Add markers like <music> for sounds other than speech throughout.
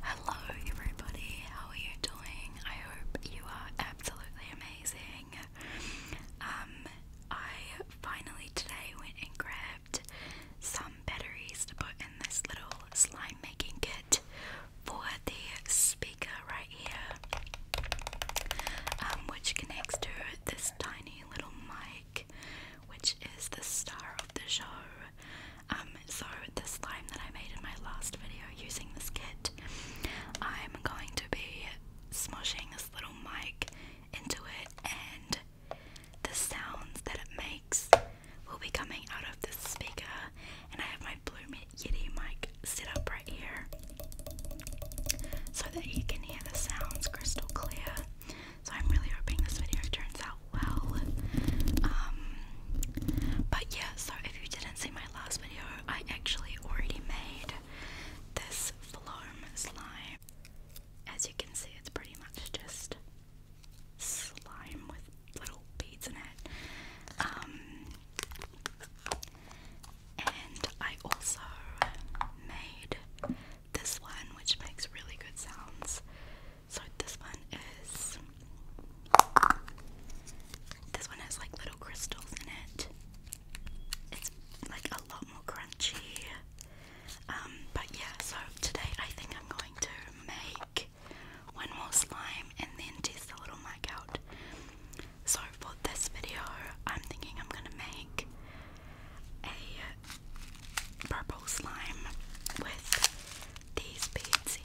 Hello, everybody, how are you doing? I hope you are absolutely amazing. Um, I finally today went and grabbed some batteries to put in this little slime making kit for the speaker right here, um, which connects to this tiny little mic, which is the star of the show. Um, so this slime that I made in my last video using this kit, I'm going to be smushing this little mic into it and the sounds that it makes will be coming out of this speaker and I have my Blue Yeti mic set up right here so that you can hear the sounds crystal clear. So I'm really hoping this video turns out well. Um, but yeah, so if you didn't see my last video, I actually already made this Floam slime. As you can see, it's pretty much just slime with little beads in it. Um, and I also made this one, which makes really good sounds. So this one is this one has like little crystals in it. It's like a lot more crunchy. Um, but yeah, so today I think I'm going to make one more slime and then test the little mic out. So for this video, I'm thinking I'm gonna make a purple slime with these beads here.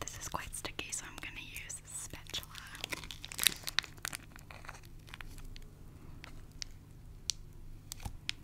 This is quite sticky, so I'm going to use a spatula.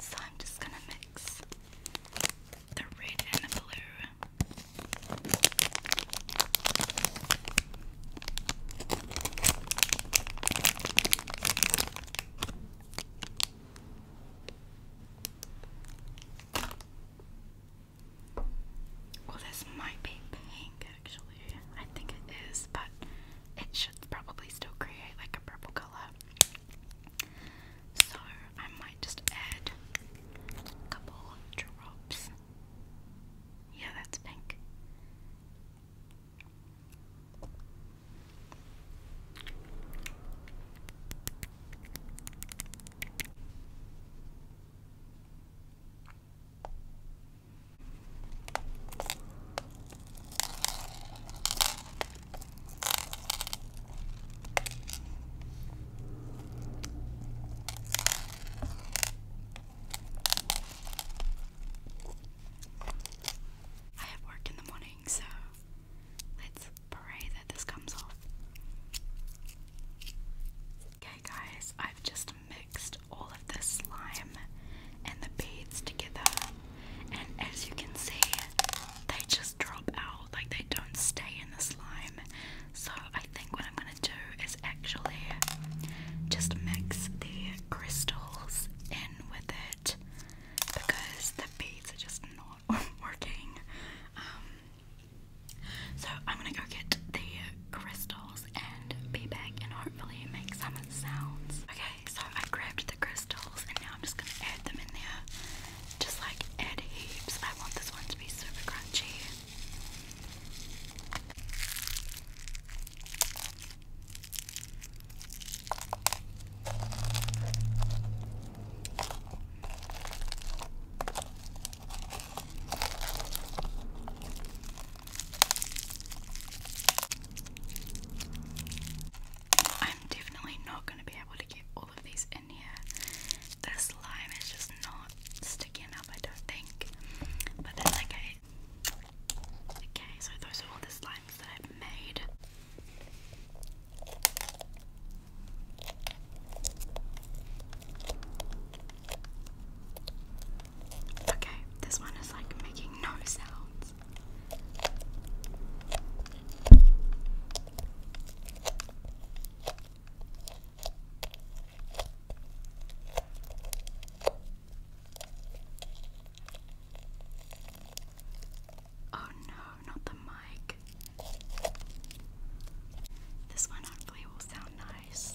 So I'm just gonna mix the red and the blue. Well, this might be pink actually. I think it is, but it should probably still create like a purple color. So I might just add a couple drops. Yeah, that's pink. I have work in the morning, so let's pray that this comes off. Okay, guys, I've just mixed all of the slime and the beads together, and as you can see, they just drop out like they don't stay in the slime. So I think what I'm gonna do is actually just mix the crystals in with it because the beads are just not <laughs> working. Um, so I'm gonna go get the crystals and be back and hopefully make some sounds. Okay, so I grabbed the crystals and now I'm just gonna add them in there just like add heaps. I want this one to be super crunchy. I'm definitely not going to be able to get all of these in here. The slime is just not sticking up, I don't think. But that's okay. Okay, so those are all the slimes that I've made. Okay, this one is like making no sounds. Oh no, not the mic. This one hopefully will sound nice.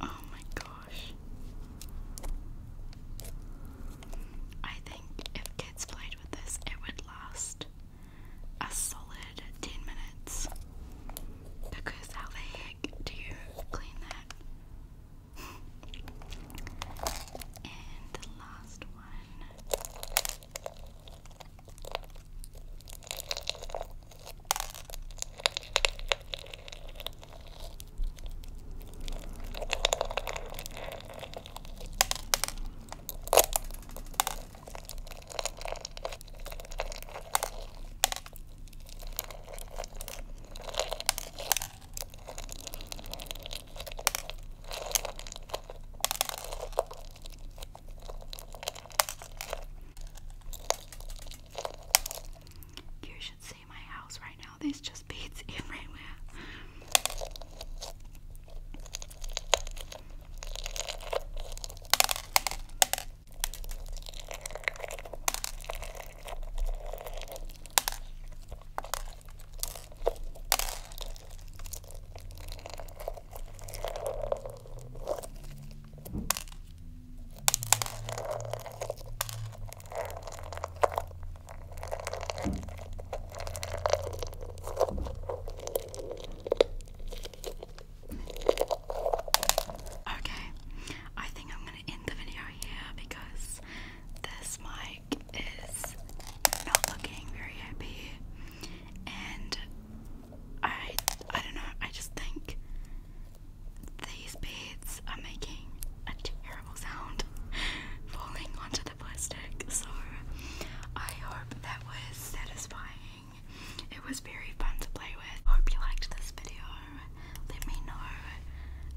Oh, my gosh. I think if kids played with this, it would should last a solid 10 minutes because how the heck do you clean that? and the last one. You should see in my house right now. There's just beads <laughs> everywhere. Okay, I think I'm going to end the video here because this mic is not looking very happy, and I I don't know. I just think these beads are making a terrible sound <laughs> falling onto the plastic, so I hope that was satisfying. It was very fun to play with. Hope you liked this video. Let me know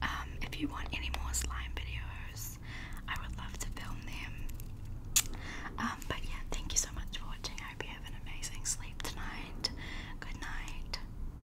um, if you want any more slime videos. I would love to film them. Um, but yeah, thank you so much for watching. hope you have an amazing sleep tonight. Good night.